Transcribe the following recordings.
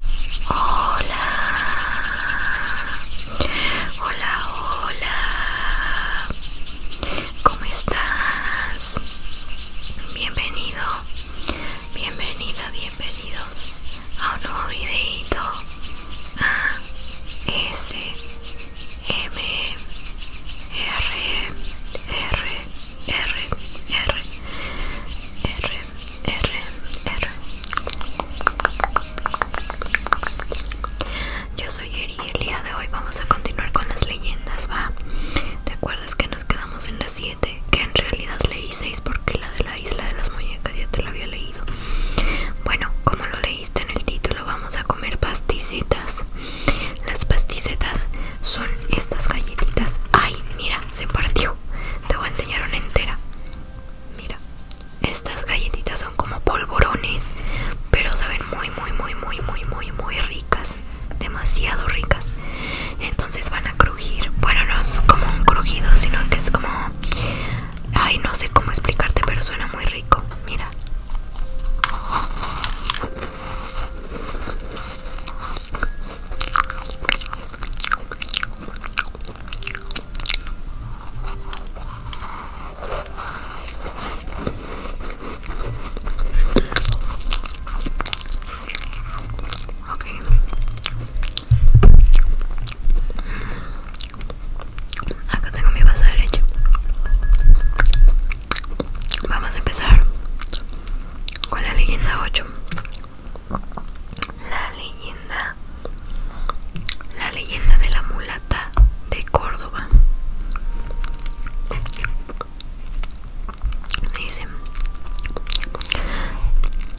Hola, hola, hola, ¿cómo estás? Bienvenido, bienvenida, bienvenidos a un nuevo videito A, S, M, R, R, R, R, R, R, Yo soy Eri y el día de hoy vamos a continuar con las leyendas, ¿va? ¿Te acuerdas que nos quedamos en las 7? Que en realidad leí 6 porque la de la isla de las muñecas ya te la había leído. Bueno, como lo leíste en el título, vamos a comer pasticetas. Las pasticetas son estas galletitas. ¡Ay, mira! Se partió. Te voy a enseñar una entera. Mira, estas galletitas son como polvorones, pero saben muy, muy, muy, muy, muy, muy, muy ricas. Demasiado ricas. Entonces van a crujir. Bueno, no es como un crujido, sino que es como... Ay, no sé cómo explicarte, pero suena muy rico. Mira. Ok. Acá tengo mi vaso derecho. Vamos a empezar con la leyenda 8. La leyenda La leyenda de la mulata de Córdoba Dice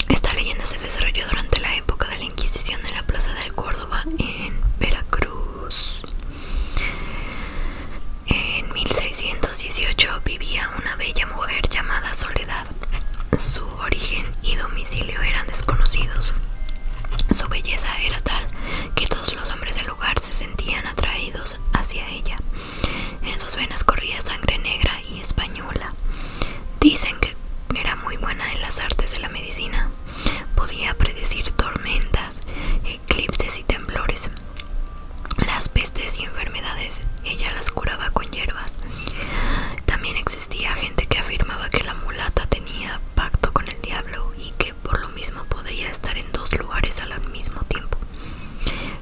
Esta leyenda se desarrolló durante la época de la Inquisición en la plaza de Córdoba en Veracruz en 1618 vivía una bella mujer llamada Soledad su origen y domicilio eran desconocidos. Su belleza era tal que todos los hombres del lugar se sentían atraídos hacia ella. En sus venas corría sangre negra y española. Dicen que era muy buena en las artes de la medicina. Podía predecir tormentas, eclipses y temblores. Las pestes y enfermedades ella las curaba con hierbas, también existía gente que afirmaba que la mulata tenía pacto con el diablo y que por lo mismo podía estar en dos lugares al mismo tiempo.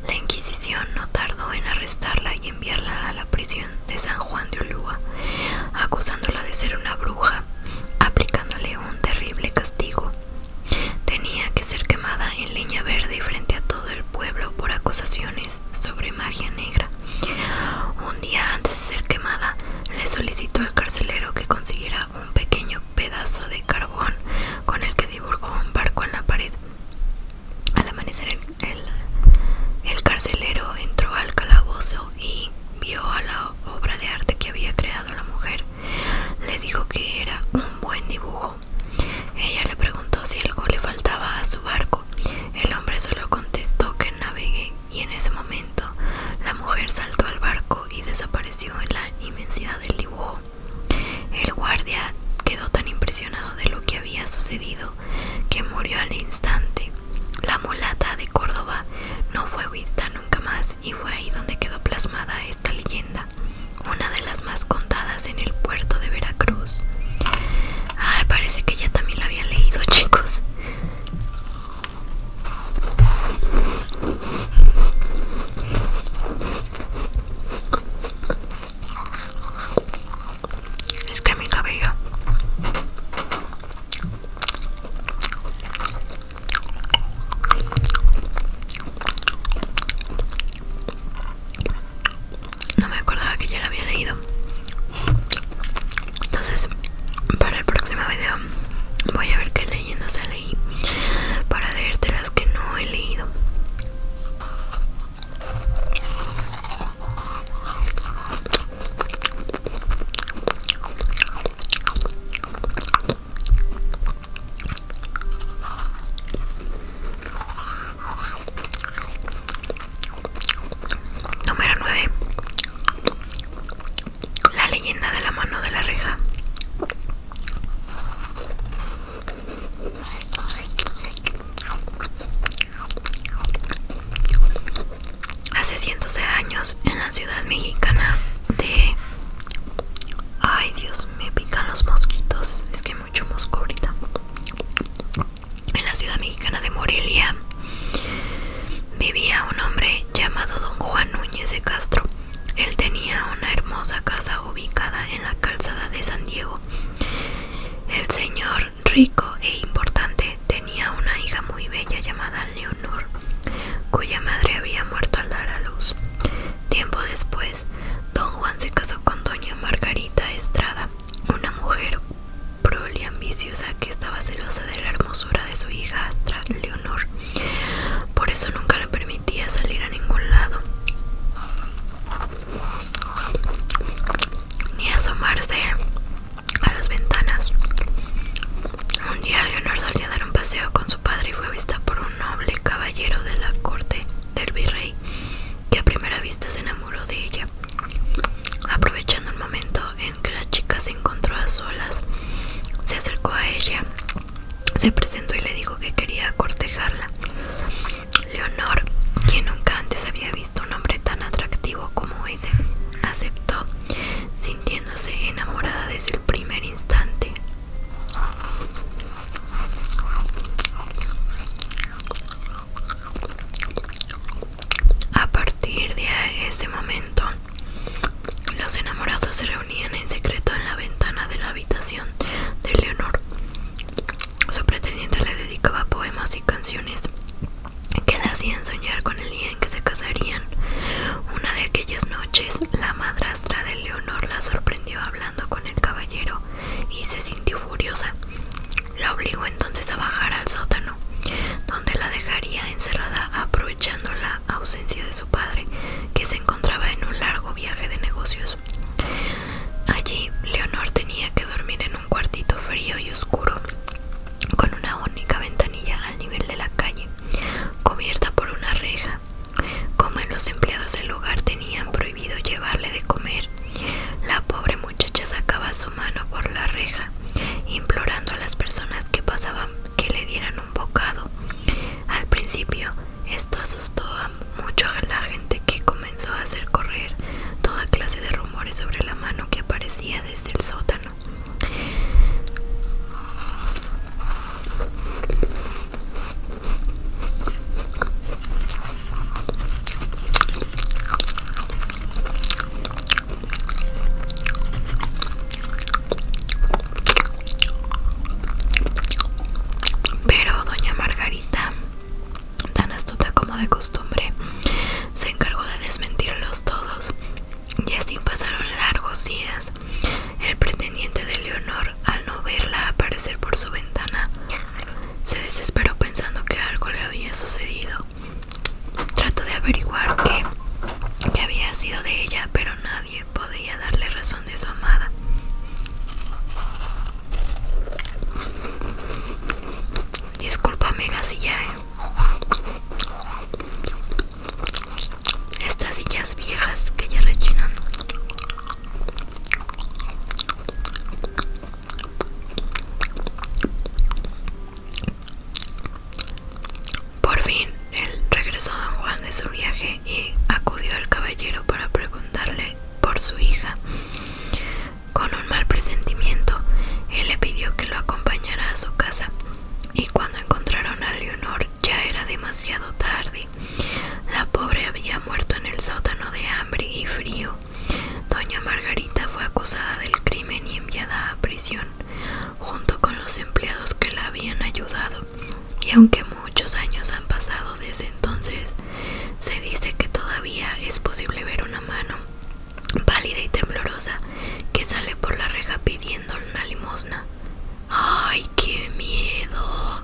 La Inquisición no tardó en arrestarla y enviarla a la prisión de San Juan de Ulúa, acusándola de ser una bruja, aplicándole un terrible castigo. Tenía que ser quemada en leña verde frente a todo el pueblo por acusaciones sobre magia negra, un día antes de ser quemada, le solicitó al carcelero que consiguiera un pequeño pedazo de carbón con el que dibujó un barco en la pared. Al amanecer, el, carcelero entró al calabozo y vio a la obra de arte que había creado la mujer. Le dijo que era un buen dibujo. Ella le preguntó si algo le faltaba a su barco el hombre solo contestó que navegue y en ese momento la mujer saltó al barco y desapareció en la inmensidad del dibujo. El guardia quedó tan impresionado de lo que había sucedido que murió al instante. La mulata de Córdoba no fue vista nunca más y fue ahí donde quedó plasmada esta leyenda, una de las más contadas en el puerto de Veracruz. Ay, parece que ya también la había leído, chicos. Es que mi cabello no me acordaba que ya la había leído. Entonces, para el próximo video voy a ver qué leyendo se leí para leerte las que no he leído. Número 9. La leyenda de la mano de la reja. Hace cientos de años en la ciudad mexicana de... Ay Dios, me pican los mosquitos. Es que hay mucho mosco ahorita en la ciudad mexicana de Morelia vivía un hombre llamado don Juan Núñez de Castro. Él tenía una hermosa casa ubicada en la calzada de San Diego. El señor rico e importante tenía una hija muy bella llamada Leonor, cuya madre había muerto al dar a luz. Tiempo después, don Juan se casó con doña Margarita Estrada, una mujer Proli ambiciosa que estaba celosa de la hermosura de su hija hijastra Leonor. Por eso nunca le permitía salir a ningún lado, ni asomarse a las ventanas. Un día Leonor salió a dar un paseo con su padre y fue vista por un noble caballero de la corte del virrey, que a primera vista se enamoró de ella. Aprovechando el momento en que la chica se encontró a solas, se acercó a ella, se presentó y le dijo que quería cortejarla. Leonor, quien nunca antes había visto un hombre tan atractivo como ese, aceptó, sintiéndose enamorada desde el primer instante. A partir de ese momento, los enamorados se reunían en secreto en la ventana de la habitación de Leonor. Su pretendiente le dedicaba poemas y canciones que la hacían soñar con el día en que se casarían. Una de aquellas noches, la madrastra de Leonor la sorprendió hablando con el caballero y se sintió furiosa. La obligó entonces a bajar al sótano, donde la dejaría encerrada aprovechando la ausencia de su padre, que se encontraba en un largo viaje de negocios. Allí, Leonor tenía que dormir en un cuartito frío y oscuro, con una única ventanilla al nivel de la calle, cubierta por una reja. Como en los empleados del hogar tenían prohibido llevarle de comer, la pobre muchacha sacaba su mano por la reja, implorando a las personas que pasaban que le dieran un bocado. Al principio, esto asustó mucho a la gente que comenzó a hacer correr toda clase de rumores sobre la mano que aparecía desde el sótano. Pero doña Margarita, tan astuta como de costumbre, se encargó de desmentirlos todos, y así pasaron largos días. El pretendiente de Leonor, al no verla aparecer por su ventana, se desesperó pensando que algo le había sucedido Trato de averiguar que había sido de ella, pero nadie podía darle razón de su amada. Discúlpame, sillas. ¿eh? Estas sillas viejas que ya rechinan. Por fin, él regresó a don Juan de su viaje y acudió al caballero para preguntarle por su hija. Con un mal presentimiento, él le pidió que lo acompañara a su casa, y cuando encontraron a Leonor ya era demasiado tarde. La pobre había muerto en el sótano de hambre y frío. Doña Margarita fue acusada del crimen y enviada a prisión junto con los empleados que la habían ayudado y aunque muchos años han pasado desde entonces se dice que todavía es posible ver una mano pálida y temblorosa que sale por la reja pidiendo una limosna. ¡Ay, qué miedo!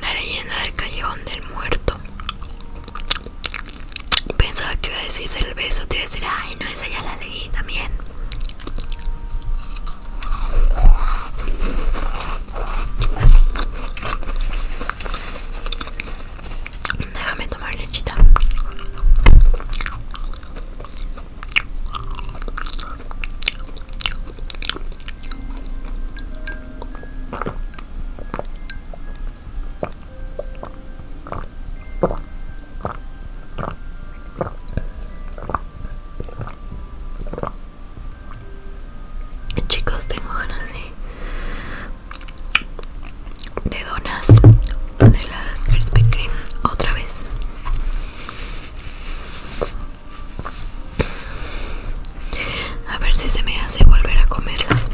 La leyenda del callejón del muerto. Pensaba que iba a decirse el beso, te iba a decir, ay no, esa ya la leí también. Déjame tomar lechita. Chicos, tengo ganas de, de donas de las Krispy otra vez. A ver si se me hace volver a comerlas.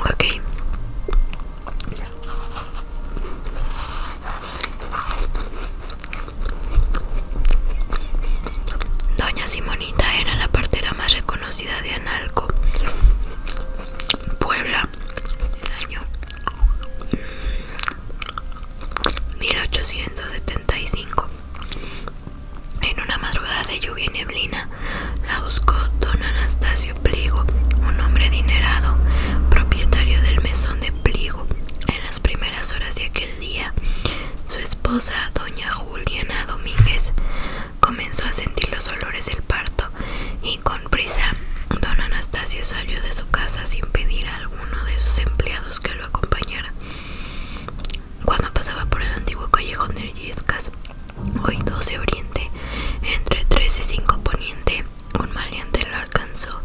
Ok. Doña Simonita era la la más reconocida de Analco, Puebla, el año 1870. En una madrugada de lluvia neblina, la buscó don Anastasio Pliego, un hombre adinerado, propietario del mesón de Pliego. En las primeras horas de aquel día, su esposa, doña Juliana Domínguez, comenzó a sentir los olores del parto y con prisa don Anastasio salió de su casa sin pedir a alguno de sus empleados que lo acompañara. Cuando pasaba por el antiguo callejón de Illescas, hoy 12 Oriente, entre 13 y 5 Poniente, un maleante lo alcanzó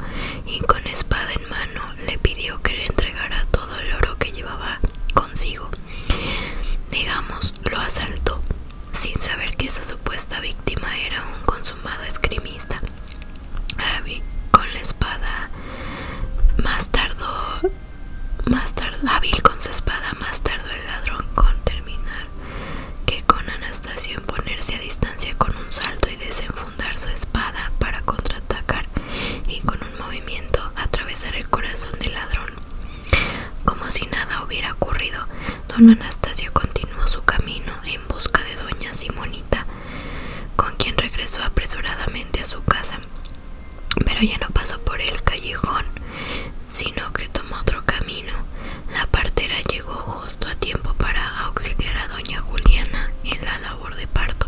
y con espada en mano le pidió que le entregara todo el oro que llevaba consigo. Digamos, lo asaltó, sin saber que esa supuesta víctima era un consumado escrimista. Abby, con la espada, más tardó más hábil con su espada, más tardó el ladrón con terminar que con Anastasio en ponerse a distancia con un salto y desenfundar su espada para contraatacar y con un movimiento atravesar el corazón del ladrón. Como si nada hubiera ocurrido, don Anastasio continuó su camino en busca de doña Simonita, con quien regresó apresuradamente a su casa pero ya no pasó por el callejón, sino que tomó otro camino. La partera llegó justo a tiempo para auxiliar a doña Juliana en la labor de parto.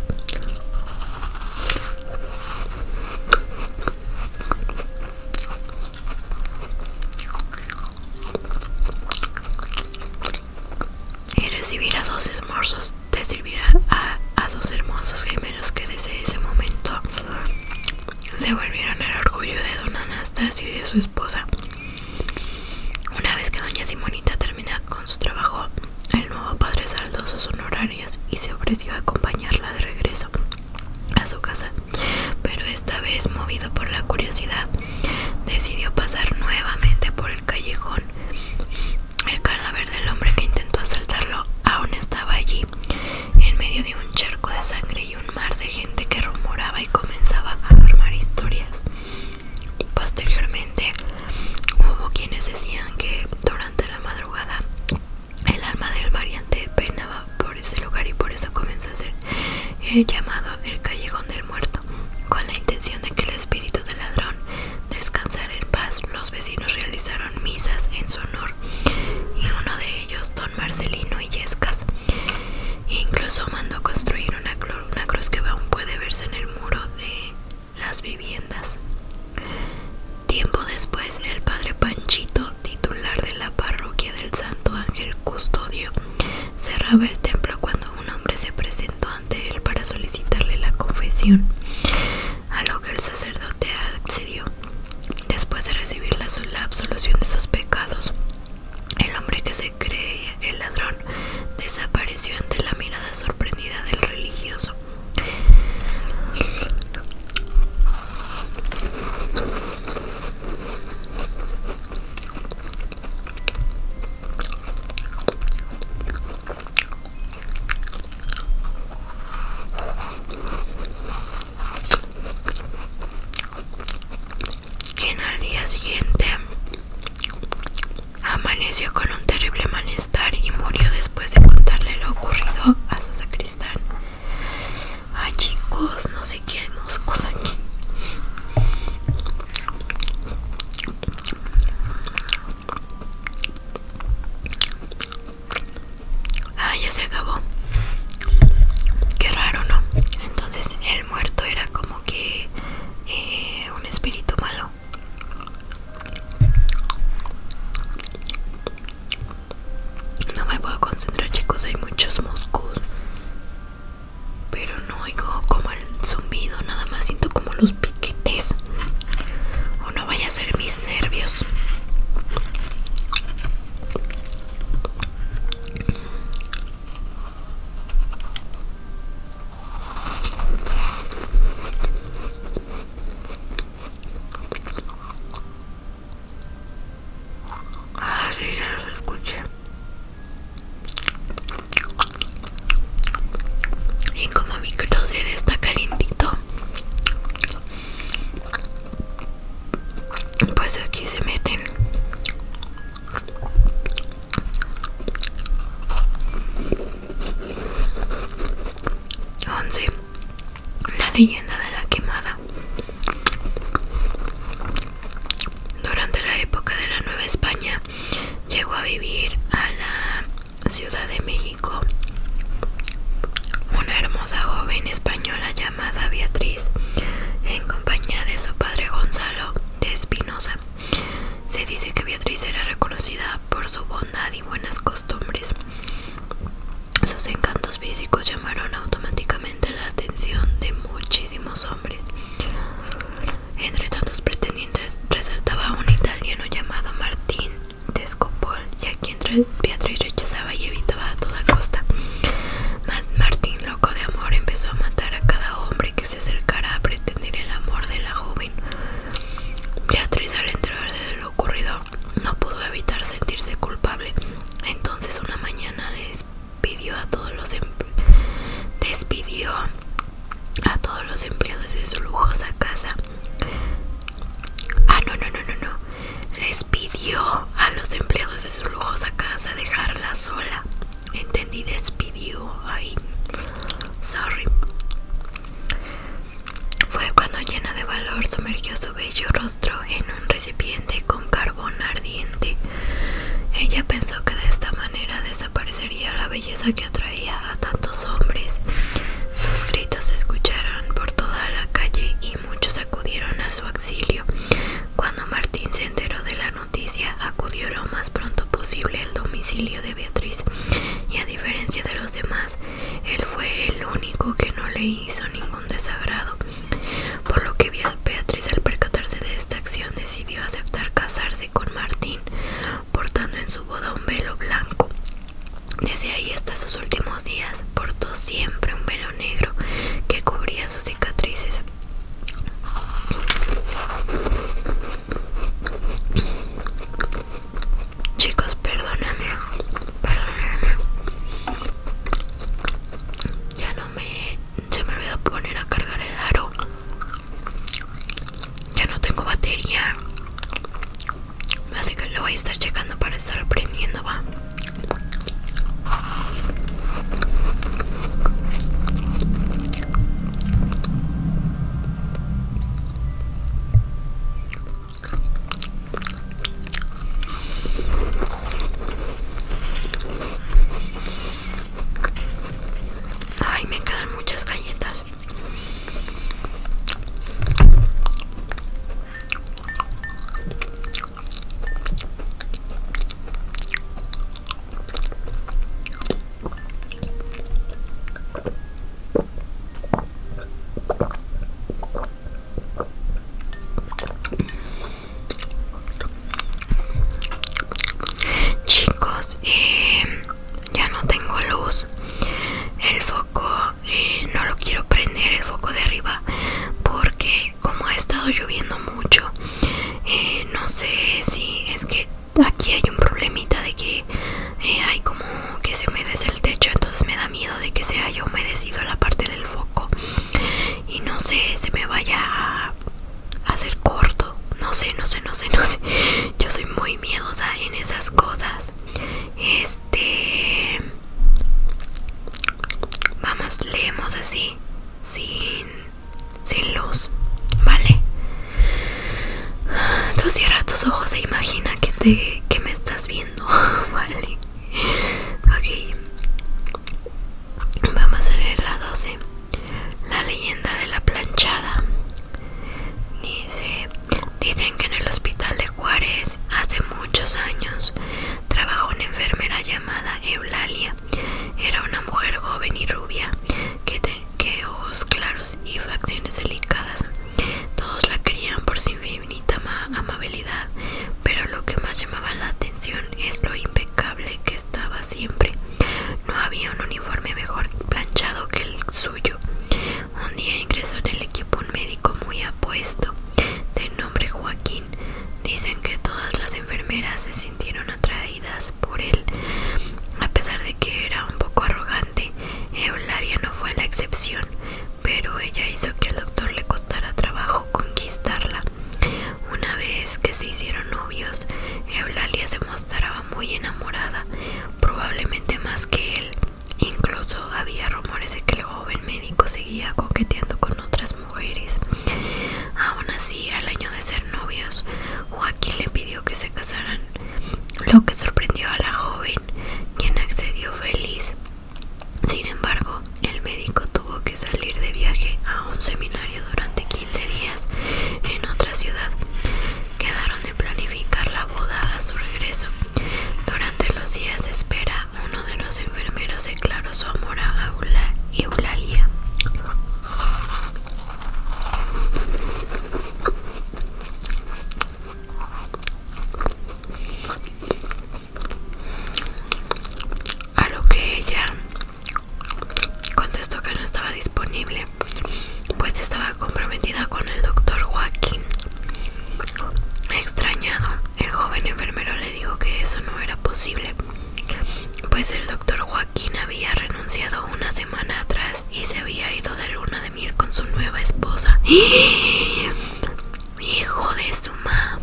Y a dos esmorzos te servir a, dos hermosos gemelos que desde ese momento se volvieron el orgullo de don Anastasio y de su esposa. Una vez que doña Simonita termina con su trabajo, el nuevo padre saldó sus honorarios y se ofreció a acompañarla de regreso a su casa, pero esta vez, movido por la curiosidad, decidió pasar nuevamente por el callejón el cadáver del hombre que intentó asaltarlo aún estaba allí, en medio de un charco de sangre y un mar de gente que rumoraba y comenzaba a formar historias. Posteriormente, hubo quienes decían que durante la madrugada el alma del variante penaba por ese lugar y por eso comenzó a ser eh, llamado el Callejón del Muerto, con la intención de que el espíritu del ladrón descansar en paz. Los vecinos realizaron misas en su honor y uno de ellos, don Marcelino Illescas, incluso mandó construir una, una cruz que aún puede verse en el muro de las viviendas. Tiempo después, el padre Panchito, titular de la parroquia del Santo Ángel Custodio, cerraba el templo cuando un hombre se presentó ante él para solicitarle la confesión a lo que el sacerdote accedió. Después de recibir la, absolución de sus pecados, el hombre que se cree el ladrón desapareció ante la mirada sorprendida del religioso en al día siguiente amaneció con un terrible malestar y murió después de contarle lo ocurrido a su sacristán. Ay chicos, no sé qué hay moscos aquí. Ah, ya se acabó. Qué raro, ¿no? Entonces el muerto era como que eh, un espíritu malo. No me puedo concentrar, chicos. Hay muchos moscos. Pero no oigo como el zumbido. Nada más siento como los piquetes. O no vaya a ser mi nervios. Ah, ya los escuché. Y como mi closet está calientito, pues aquí se meten once la leyenda de la quemada durante la época de la Nueva España llegó a vivir a la Ciudad de México, una hermosa joven española llamada Beatriz, en compañía de su padre Gonzalo de Espinosa. Se dice que Beatriz era reconocida por su bondad y buenas costumbres. Sus encantos físicos llamaron automáticamente la atención de muchísimos hombres. Entre tantos pretendientes resaltaba un italiano llamado Martín de y ya que Beatriz rechazaba y evitaba a toda costa. Martín, loco de amor, empezó a matar a cada hombre que se acercara a pretender el amor de la joven. Beatriz, al enterarse de lo ocurrido, no pudo evitar sentirse culpable. Entonces, una mañana despidió a todos los em-, despidió a todos los empleados de su lujosa casa. Ah, no, no, no, no, no. Les pidió a los empleados de su lujosa casa dejarla sola. Entendí, despidió. Ay, sorry. Fue cuando llena de valor sumergió su bello rostro en un recipiente con carbón ardiente. Ella pensó que de esta manera desaparecería la belleza que atraía a tantos hombres sus gritos se escucharon por toda la calle y muchos acudieron a su auxilio. Cuando Martín se enteró de la noticia, acudió lo más pronto posible al domicilio de Beatriz y a diferencia de los demás, él fue el único que no le hizo ningún desagrado. Por lo que Beatriz al percatarse de esta acción decidió aceptar casarse con Martín, portando en su boda un velo blanco desde ahí hasta sus últimos días portó siempre un velo negro que cubría sus cicatrices. Chicos, perdóname, perdóname. Ya no me... Se me olvidó poner a cargar el aro. Ya no tengo batería. Así que lo voy a estar checando para estar aprendiendo va. Ay, me quedan muchas galletas. Chicos, eh, ya no tengo luz. El foco eh, no lo quiero prender el foco de arriba porque como ha estado lloviendo mucho eh, no sé si es que aquí hay un problemita de que eh, hay como que se humedece el techo entonces me da miedo de que se haya humedecido la parte del foco y no sé se me vaya a hacer corto no sé no sé no sé no sé yo soy muy miedosa en esas cosas es te este, vamos leemos así sin luz vale tú cierra tus ojos e imagina que te que me estás viendo vale ok vamos a leer la 12 la leyenda de la planchada dice Dicen que en el hospital de Juárez hace muchos años trabajó una enfermera llamada Eulalia. Era una mujer joven y rubia, que, tenía ojos claros y facciones delicadas. Todos la querían por su infinita amabilidad, pero lo que más llamaba la atención es lo impecable que estaba siempre. No había un uniforme mejor planchado que el suyo. Un día ingresó en el equipo un médico muy apuesto, de nombre Joaquín. Dicen que todas las enfermeras se sintieron atraídas por él. A pesar de que era un poco arrogante, Eulalia no fue la excepción, pero ella hizo que al doctor le costara trabajo conquistarla. Una vez que se hicieron novios, Eulalia se mostraba muy enamorada, probablemente más que él, Incluso había rumores de que el joven médico seguía coqueteando con otras mujeres. Aún así, al año de ser novios, Joaquín le pidió que se casaran, lo que sorprendió a la joven, quien accedió feliz. Sin embargo, el médico tuvo que salir de viaje a un seminario durante 15 días en otra ciudad. Quedaron de planificar la boda a su regreso. Durante los días de espera, uno de los enfermeros declaró su amor a Eulalia. A lo que ella contestó que no estaba disponible, pues estaba comprometida con el doctor Joaquín. Extrañado, el joven enfermero le dijo que eso no era posible, pues el doctor Joaquín había renunciado una semana atrás y se había ido de luna de miel con su nueva esposa. Hijo de su mamá.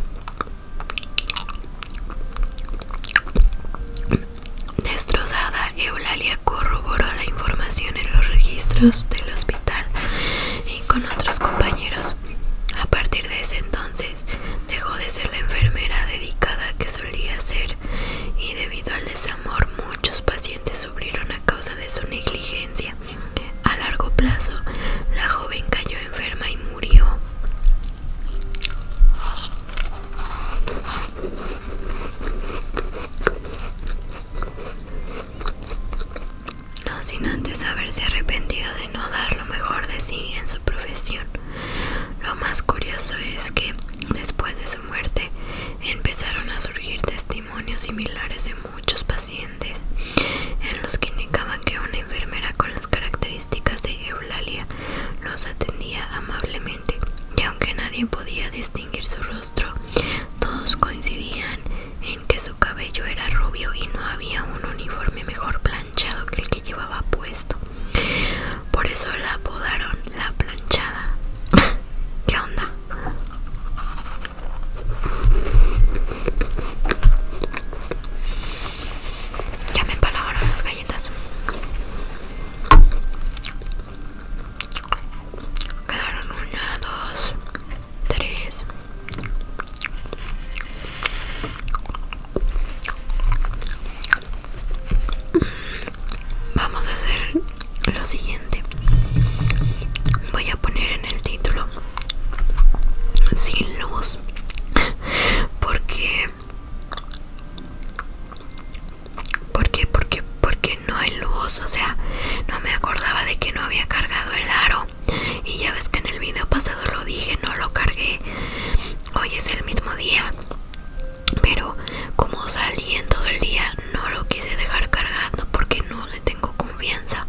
Destrozada, Eulalia corroboró la información en los registros del hospital y con otros compañeros a partir de ese entonces dejó de ser la enfermera dedicada que solía ser y debido al desamor muchos pacientes sufrieron a causa de su negligencia. A largo plazo, la joven cayó enferma y murió no sin antes haberse arrepentido de no dar lo mejor de sí en su profesión. Lo más curioso es que después de su muerte empezaron a surgir testimonios similares de muchos pacientes en los que indicaban que una enfermera con las características de Eulalia los atendía amablemente y aunque nadie podía distinguir su rostro, todos coincidían en que su cabello era rubio y no había un uniforme mejor planchado que el que llevaba puesto. Por eso la apodaron la planchada. ¿Qué onda? Ya me empalabaron las galletas. Quedaron una, dos, Tres Vamos a hacer lo siguiente. Voy a poner en el título sin luz porque porque porque porque no hay luz, o sea, no me acordaba de que no había cargado el aro y ya ves que en el video pasado lo dije, no lo cargué. Hoy es el mismo día. Pero como salí en todo el día, no lo quise dejar cargando porque no le tengo confianza.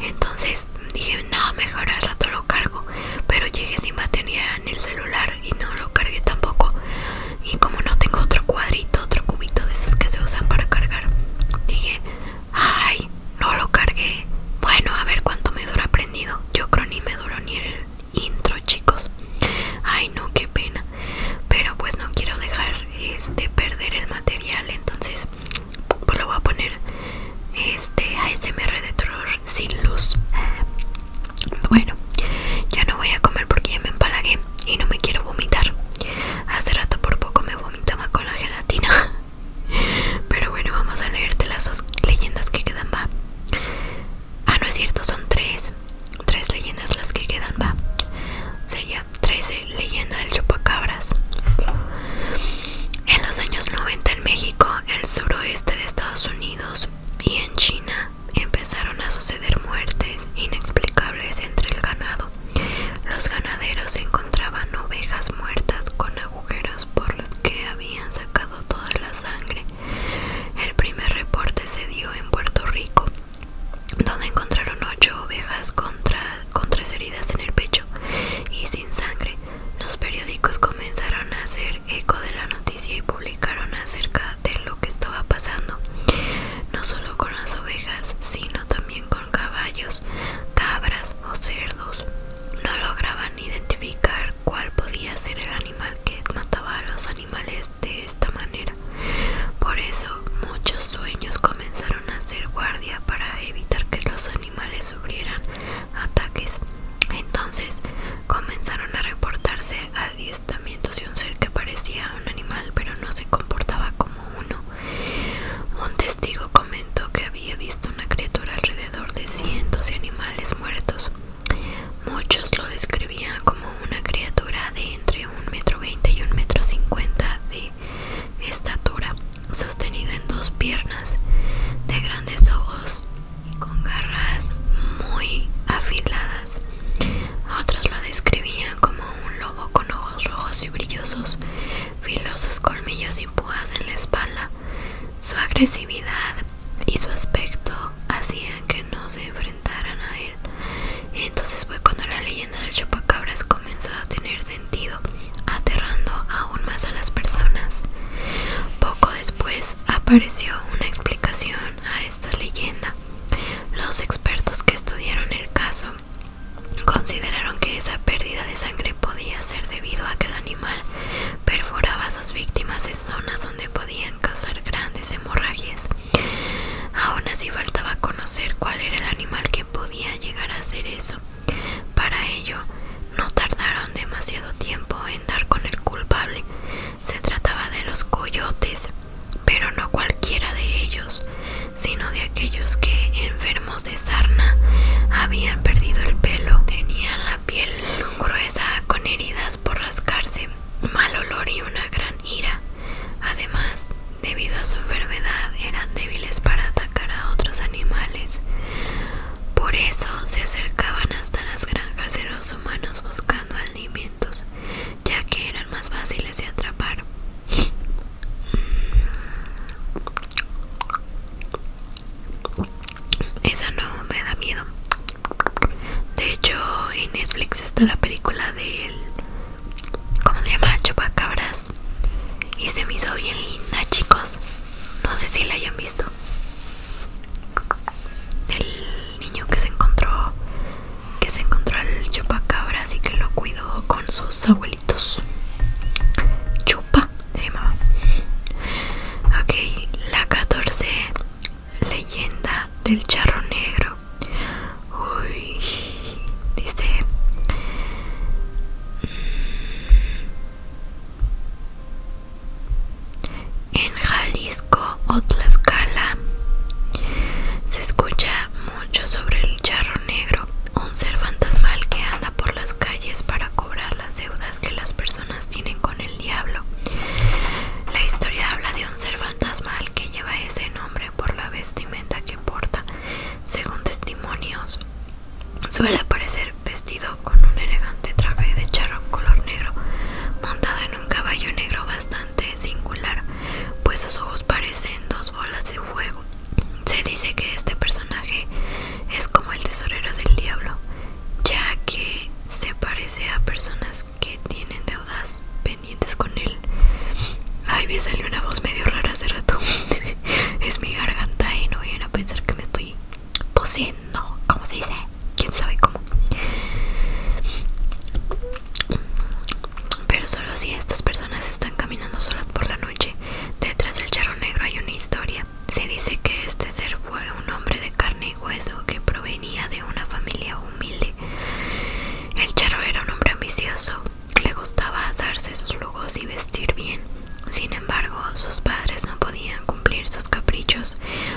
Entonces dije, no, mejor al rato lo cargo. Pero llegué sin batería en el celular y no lo cargué tampoco. Y como no tengo otro cuadrito, otro cubito de esos que se usan para cargar, dije, Ay, no lo cargué. Bueno, a ver cuánto me dura prendido. Yo creo ni me duró ni el intro, chicos. Ay, no, qué pena. Pero pues no quiero dejar este perder el material, entonces pues lo voy a poner este ASMR de terror sin luz. Ah, bueno, ya no voy a comer porque ya me empalagué y no me quiero vomitar. Hace rato por poco me vomitaba con la gelatina. Pero bueno, vamos a leerte las dos leyendas que quedan, va. Ah, no es cierto, son tres. Tres leyendas las que quedan, va. Sería 13 leyenda del chupacabras. En los años 90 en México, el suroeste de Estados Unidos y en China empezaron a suceder muertes inexplicables entre el ganado. Los ganaderos encontraban ovejas muertas con agua por los que habían sacado toda la sangre. El primer reporte se dio en Puerto Rico, donde encontraron ocho ovejas con tres heridas en el pecho y sin sangre. Los periódicos comenzaron a hacer eco de la noticia y publicaron acerca de lo que estaba pasando, no solo con las ovejas, sino también con caballos, cabras o cerdos. No lograban identificar cuál podía ser el animal que mataba a los animales de esta manera. Por eso, muchos sueños comenzaron a hacer guardia para evitar que los animales sufrieran ataques. Entonces, comenzaron a reportarse adiestamientos y un ser que parecía un animal pero no se comportaba como uno un testigo comentó que había visto una criatura alrededor de cientos de animales muertos. Muchos lo describían como una criatura de entre un metro veinte y un metro cincuenta de estatura, sostenido en dos piernas, de grandes ojos y con garras muy afiladas. Otros lo describían como un lobo con ojos rojos y brillosos, filosos colmillos y púas en la espalda, su agresividad y su aspecto hacían que no se enfrentaran a él. Entonces fue cuando la leyenda del chupacabras comenzó a tener sentido, aterrando aún más a las personas. Poco después apareció una explicación a esta leyenda. Los expertos que estudiaron el caso consideraron que esa pérdida de sangre podía ser debido a que el animal perforaba a sus víctimas en zonas donde podían causar grandes hemorragias. Aún así faltaba conocer cuál era el animal que podía llegar a hacer eso. Para ello, no tardaron demasiado tiempo en dar con el culpable. Se trataba de los coyotes, pero no cualquiera de ellos, sino de aquellos que enfermaron de sarna habían perdido el pelo, tenían la piel gruesa con heridas por rascarse, mal olor y una gran ira. Además, debido a su enfermedad, eran débiles para atacar a otros animales. Por eso se acercaban hasta las granjas de los humanos buscando alimentos, ya que eran más fáciles de atrapar. Esa no me da miedo. De hecho, en Netflix está la película del. ¿Cómo se llama? Chupacabras. Y se me hizo bien linda, chicos. No sé si la hayan visto. El niño que se encontró. Que se encontró al chupacabras y que lo cuidó con sus abuelitos. Chupa tema, Ok, la 14 leyenda del charro negro. Uy, dice... Mm, en Jalisco o Tlaxcala se escucha mucho sobre el charro negro, un ser fantasmal que anda por las calles para las deudas que las personas tienen con el diablo. La historia habla de un ser fantasmal que lleva ese nombre por la vestimenta que porta. Según testimonios, suele aparecer vestido con un elegante traje de charro color negro, montado en un caballo negro bastante singular, pues sus ojos parecen dos bolas de fuego. Se dice que este personaje es como el tesorero del diablo, ya que se parece a personas que tienen deudas pendientes con él. Ay, me salió una voz medio rara hace rato. es mi garganta y no vayan a pensar que me estoy poseendo. ¿Cómo se dice? ¿Quién sabe cómo? Pero solo si estas personas están caminando solas por la noche, detrás del charro negro hay una historia. Se dice que este ser fue un hombre de carne y hueso que provenía de una familia humilde. El charro era un hombre ambicioso, le gustaba darse sus lujos y vestir bien. Sin embargo, sus padres no podían cumplir sus caprichos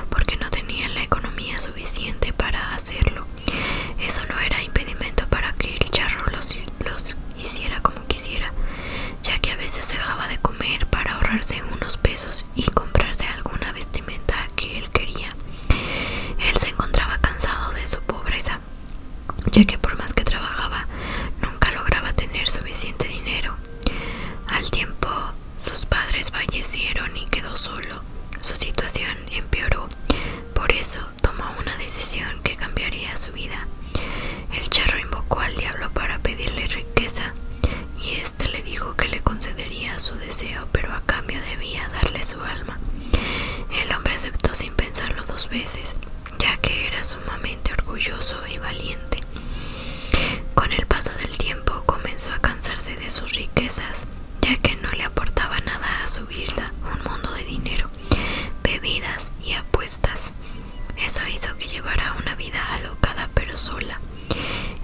porque no tenían la economía suficiente para hacerlo. Eso no era impedimento para que el charro los, los hiciera como quisiera ya que a veces dejaba de comer para ahorrarse unos pesos y comprarse alguna vestimenta que él quería. Él se encontraba cansado de su pobreza, ya que por más que trabajaba, nunca lograba tener suficiente dinero. Al tiempo, sus padres fallecieron y quedó solo. Su situación empeoró. Por eso tomó una decisión que cambiaría su vida. El charro invocó al diablo para pedirle riqueza y éste le dijo que le concedería su deseo, pero a cambio debía darle su alma. El hombre aceptó sin pensarlo dos veces, ya que era sumamente orgulloso y valiente. Con el paso del tiempo comenzó a cansarse de sus riquezas, ya que no le aportaba nada a su vida un mundo de dinero, bebidas y apuestas eso hizo que llevara una vida alocada pero sola.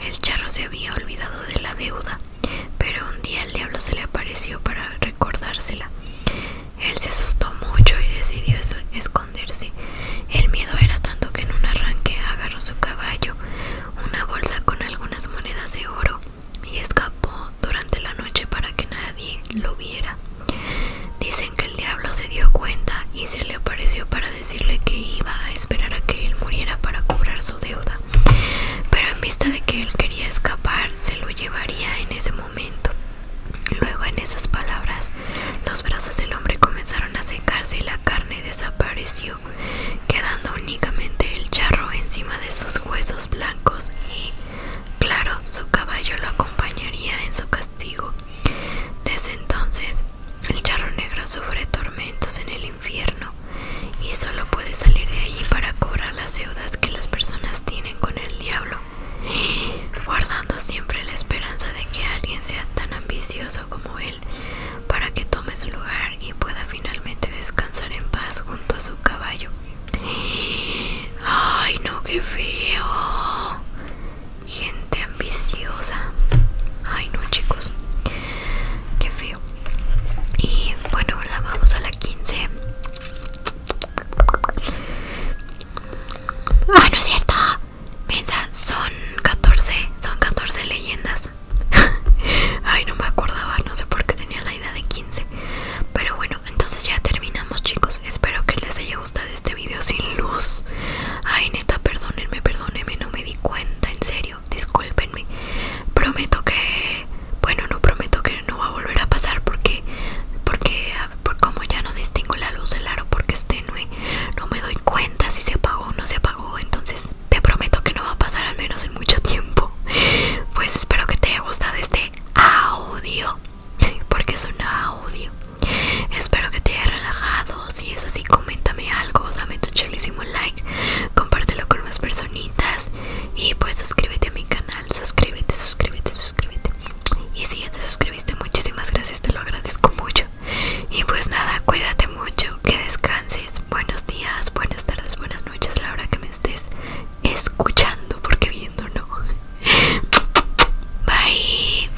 El charro se había olvidado de la deuda, pero un día el diablo se le apareció para recordársela. Él se asustó mucho y decidió esconderse. El miedo era tanto que en un arranque agarró su caballo, una bolsa con algunas monedas de oro, y escapó durante la noche para que nadie lo viera. Dicen que el diablo se dio cuenta y se le apareció para decirle que iba a esperar a que él muriera para cobrar su deuda. Pero en vista de que él quería escapar, se lo llevaría en ese momento. Luego en esas palabras, los brazos del hombre comenzaron a secarse y la carne desapareció, quedando únicamente el charro encima de sus huesos blancos y, claro, su caballo lo acompañaría en su castigo. Desde entonces, el charro negro sufre tormentos en el infierno y solo puede salir de allí para cobrar las deudas que las personas tienen con el diablo, guardando siempre la esperanza de que alguien sea tan ambicioso como él para que tome su lugar y pueda finalmente descansar en paz junto a su caballo. ¡Ay, no, qué feo! gente ambiciosa. Ay, no, chicos, qué feo. Y bueno, la vamos a la 15. Ay ah, no es cierto. mira son 14. Son 14 leyendas. Ay, no me acordaba. No sé por qué tenía la idea de 15. Pero bueno, entonces ya terminamos, chicos. Espero que les haya gusta de este video sin luz Ay neta, perdónenme, perdónenme No me di cuenta, en serio Discúlpenme Prometo que... Bueno, no prometo que no va a volver a pasar Porque... Porque... como ya no distingo la luz del aro Porque es tenue No me doy cuenta si se apagó o no se apagó Entonces te prometo que no va a pasar Al menos en mucho tiempo Pues espero que te haya gustado este audio Porque es un audio Espero que te haya relajado. Si es así, coméntame algo, dame tu chelísimo like, compártelo con más personitas y pues suscríbete a mi canal. Suscríbete, suscríbete, suscríbete. Y si ya te suscribiste, muchísimas gracias, te lo agradezco mucho. Y pues nada, cuídate mucho, que descanses. Buenos días, buenas tardes, buenas noches, la hora que me estés escuchando, porque viendo no. Bye.